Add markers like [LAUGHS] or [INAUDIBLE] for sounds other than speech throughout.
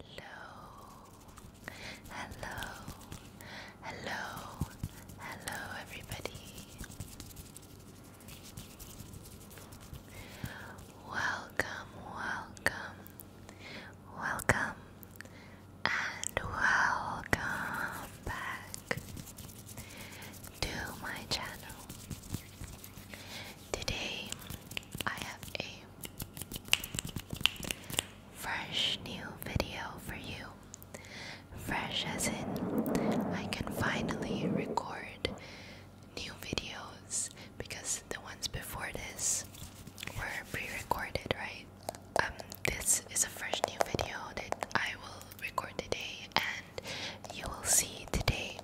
Hello, hello, hello, hello, everybody. Welcome, welcome, welcome, and welcome back to my channel. Today I have a Fresh new video for you. Fresh as in, I can finally record new videos because the ones before this were pre recorded, right? Um, this is a fresh new video that I will record today and you will see today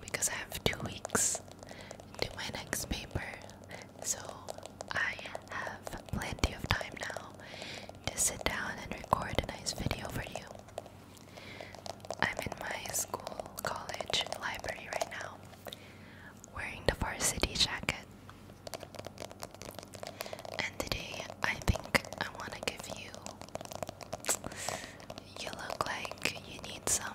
because I have two weeks to my next paper, so I have plenty of time now to sit down and record a nice video for you. I'm in my school college library right now, wearing the varsity jacket. And today I think I want to give you. You look like you need some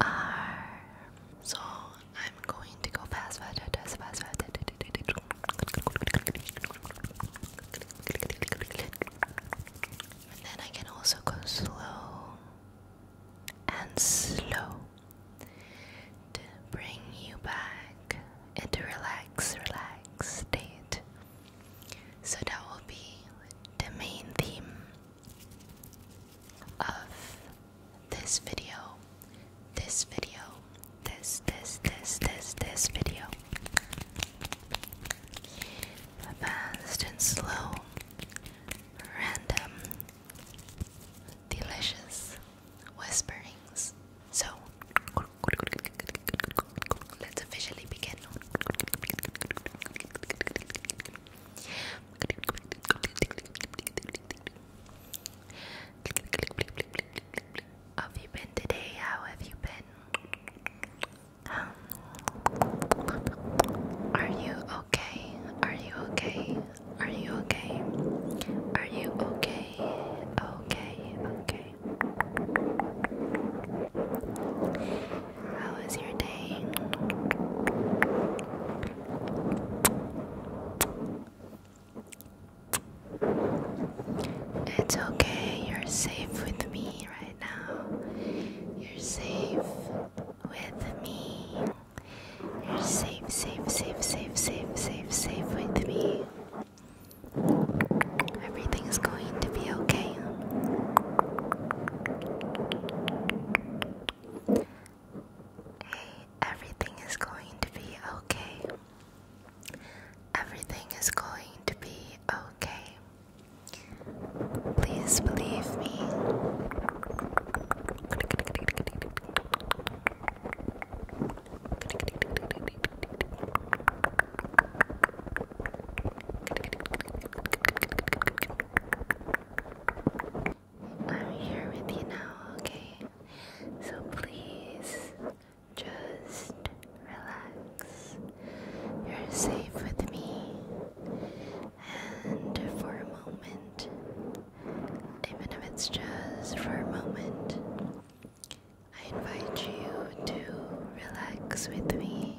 are. So I'm going to go fast, fast, fast, fast, fast. And then I can also go slow and slow to bring you back into relax, relax state. So that will be the main theme of this video, this video, this, this, this, this, this video. Fast and slow, random, delicious whisperings. So, let's officially begin have you been today? How have you been? are you okay? Are you okay? Are you okay? Are you okay? Okay, okay. How was your day? It's okay, you're safe with me right now. You're safe with me. You're safe, safe, safe, safe, safe, safe, safe with me. Everything's going to be okay. Hey, everything is going to be okay. Everything is going to be okay. Please believe me. I'm here with you now, okay? So please just relax. You're safe with me. And for a moment, even if it's just for a moment, I invite you to relax with me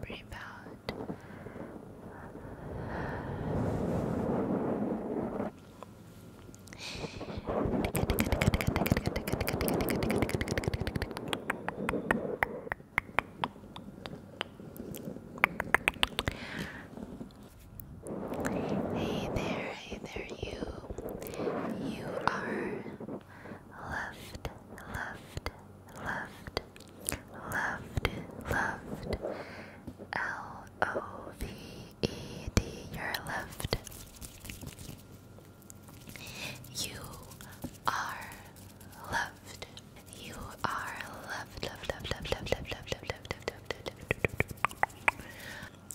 breathe out. Hey there, hey there, you. You are loved, loved, loved, loved, loved. L O V E D, you're loved. You are loved. You are loved, loved, loved, loved, loved, loved, loved, loved, loved, loved, loved, loved.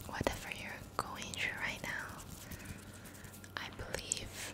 Whatever you're going through right now, I believe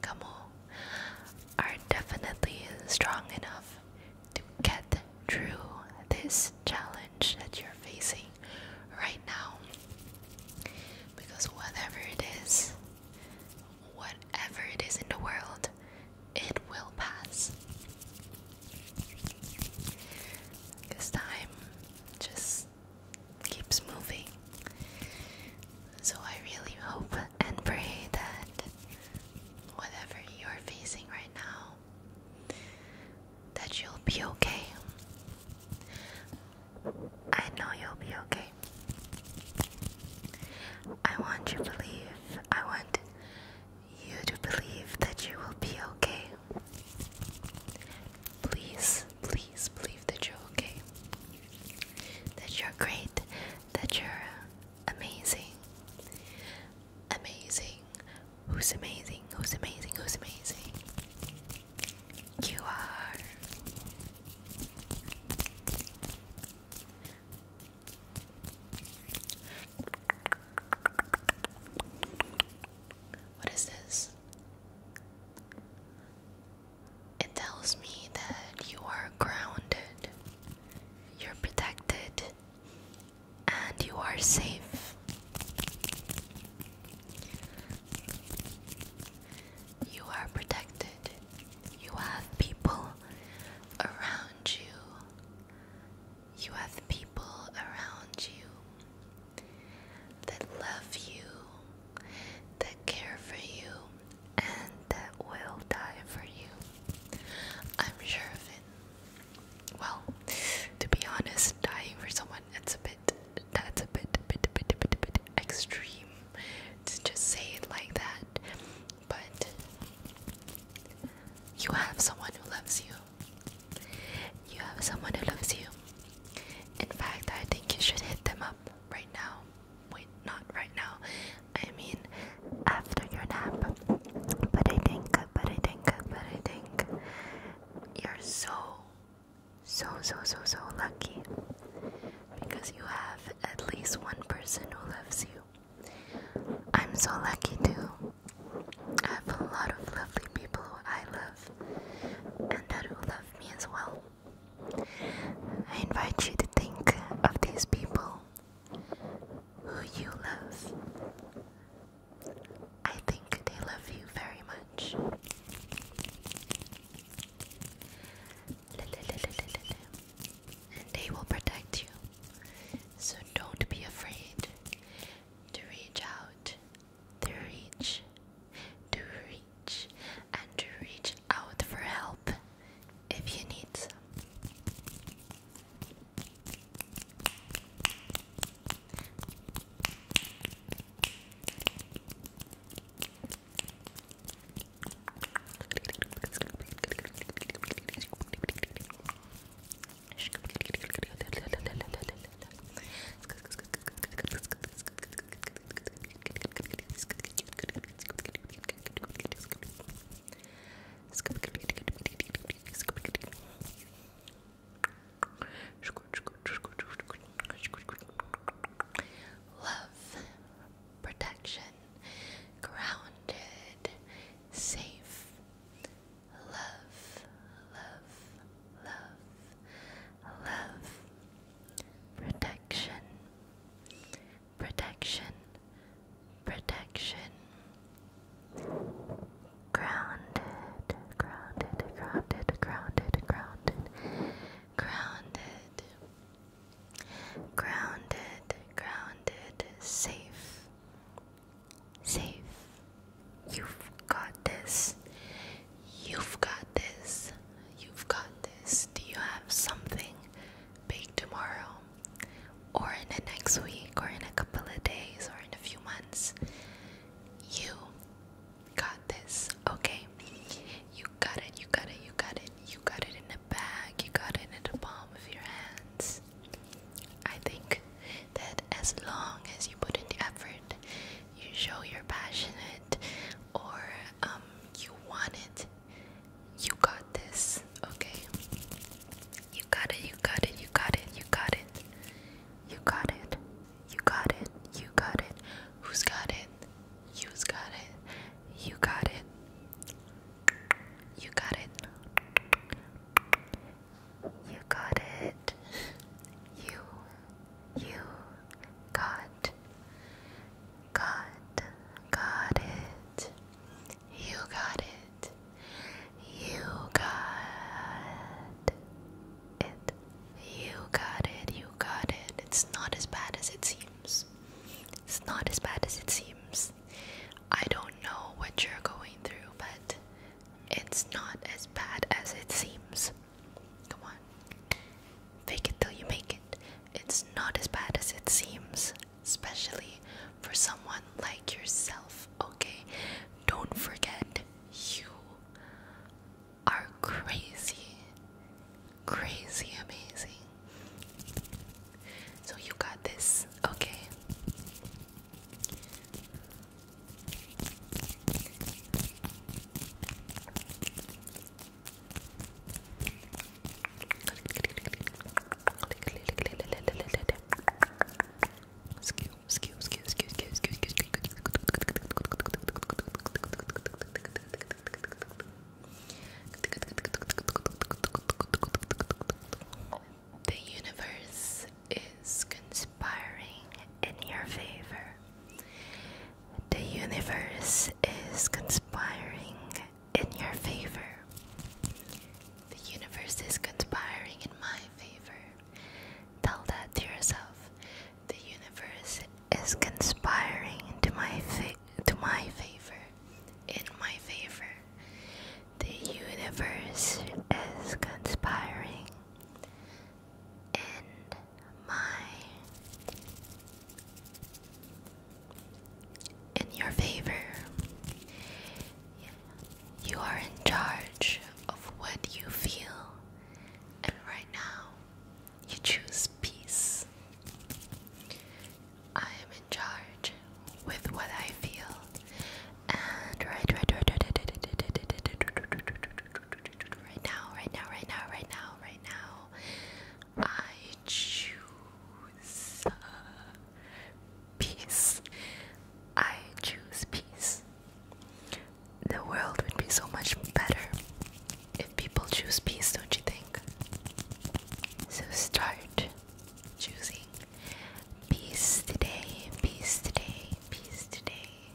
Kamo are definitely strong enough to get through this challenge that you're facing right now. Because whatever it is, whatever it is in the world, it will pass. This time just keeps moving. So I really hope and pray that whatever you're facing right now, that you'll be okay. I know you'll be okay. I want you to believe, I want you to believe that you will be okay. Please, please believe that you're okay. That you're great that you're amazing. Amazing. Who's amazing? Who's amazing? Who's amazing? You are. What is this? It tells me that you are grounded, you're protected, and you are safe. You are protected. You have people around you. You have people around you that love you that care for you and that will die for you. I'm sure of it. Well, to be honest, dying for someone it's a bit that's a bit bit bit bit bit, bit extreme to just say it like that. But you have someone who loves you. You have someone who loves you. In fact, I think you should hit them up right now wait, not right now. I mean, after your nap. But I think, but I think, but I think you're so, so, so, so, so lucky because you have at least one person who loves you. I'm so lucky too. I have a lot of lovely people who I love and that who love me as well. I invite you to think of these people who you love. I think they love you very much. And they will protect you. So don't be afraid to reach out, to reach, to reach and to reach out for help if you need some. [LAUGHS] Love, protection, grounded, safe. Love, love, love, love protection, protection, protection. Grounded, grounded, grounded, grounded, grounded, grounded, grounded, grounded, safe, safe. You've got this. You've got this. You've got this. Do you have something big tomorrow? Or in the next week, or in a couple of days, or in a few months? You got this, okay? You got it, you got it, you got it, you got it in the bag, you got it in the palm of your hands. I think that as long as you put in the effort, you show you're passionate or um, you want it, you got this, okay? You got it, you got it, you got it, you got it. You got it, you got it, you got it. Who's got it? You's got it, you got it. You got it. You got it. You you got, got, got it. You got it. You got it. You got it. You got it. It's not as bad as it seems. It's not as bad as it seems. I don't know what you're going through, but it's not as bad as it seems. Come on. Fake it till you make it. It's not as bad as it seems, especially for someone like yourself, okay? Don't forget, you are crazy. Crazy amazing. So you got this, okay? The universe is consumed conspiring in your favor. The universe is conspiring in your favor. The universe is conspiring in my favor. Tell that to yourself. The universe is conspiring to my fa to my favor. In my favor. The universe is conspiring in my in your favor. You are in charge of what you feel, and right now you choose peace. I am in charge with what I feel, and right, right, right, right right now, right now, right now, right now, right now, I choose uh, peace. I choose peace. The world would be so much better if people choose peace, don't you think? So start choosing peace today, peace today, peace today.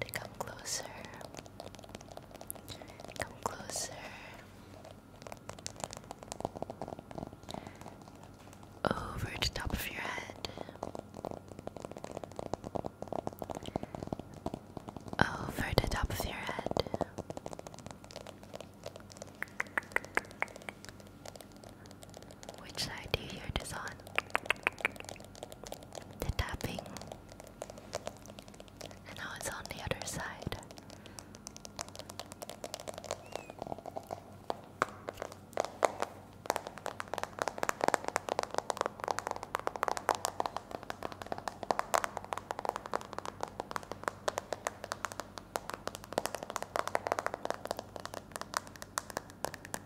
And come closer. Come closer. Over the top of your head. Over the top of your head. Which side do you hear this on? The tapping. And now it's on the other side.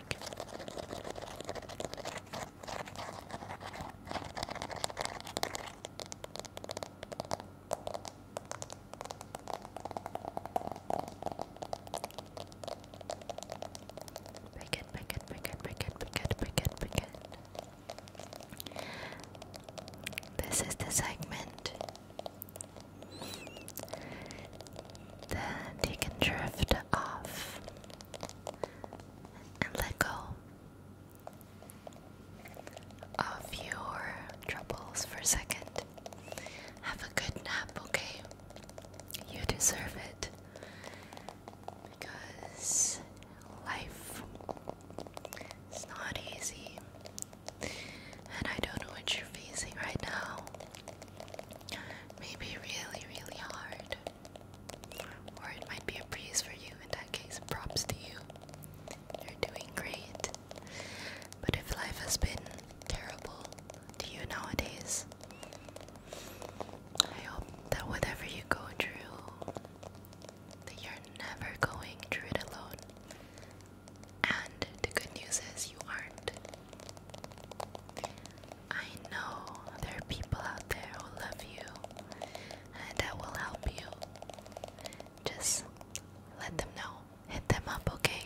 topic. Picket, picket, picket, picket, picket, picket, picket. This is the segment then you can drift off and let go of your troubles for a second. Have a good nap, okay? You deserve it. Because life is not easy. And I don't know what you're facing right now. Maybe really, really hard. Or it might be a breeze for you. In that case, props to you. You're doing great. But if life has been terrible to you nowadays, I hope that whatever you go through, that you're never going through it alone. And the good news is you aren't. I know there are people out there who love you and that will help you. Just let them know. Hit them up, okay?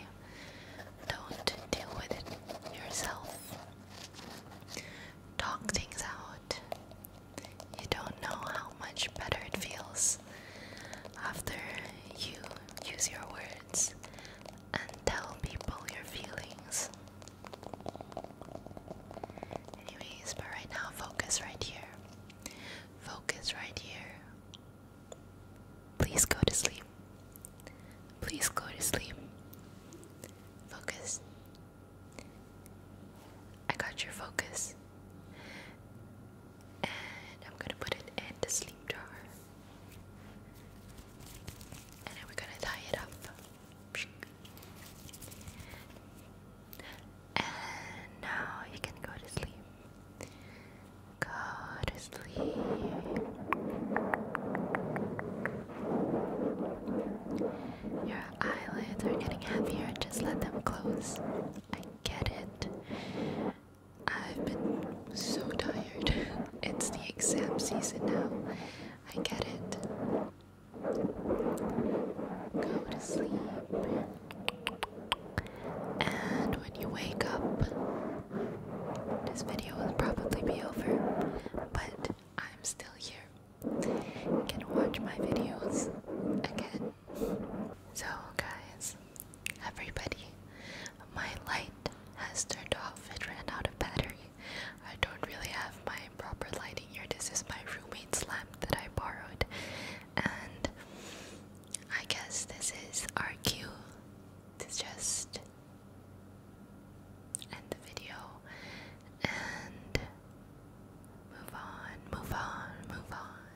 Don't deal with it yourself. Talk things out. You don't know how much better it feels after you use your words and tell people your feelings. Anyways, but right now, focus right here. Focus right here. Please go to sleep. Please go to sleep. Focus. I got your focus. And I'm gonna put it in the sleep jar. And then we're gonna tie it up. And now you can go to sleep. Go to sleep. Your eyelids are getting heavier, just let them close. I get it. I've been so tired. [LAUGHS] it's the exam season now. I get it. Go to sleep. And when you wake up, this video will probably be over, but I'm still here. You can watch my videos again. So, guys, Everybody, my light has turned off. It ran out of battery. I don't really have my proper lighting here. This is my roommate's lamp that I borrowed. And I guess this is our cue to just end the video and move on, move on, move on.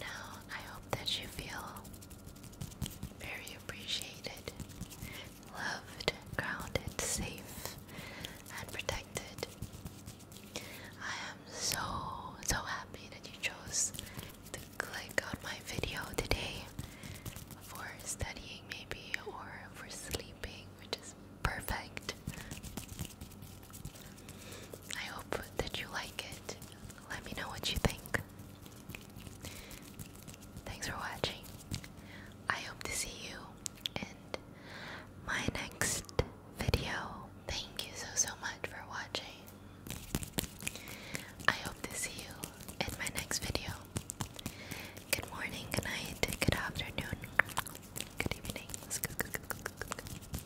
Now, I hope that you feel very appreciated, loved, grounded, safe, and protected. I am so, so happy that you chose to click on my video today for studying, maybe, or for sleeping, which is perfect. I hope that you like it. Let me know what you think. Thanks for watching. I hope to see you in my next video. Thank you so, so much for watching. I hope to see you in my next video. Good morning, good night, good afternoon, good evening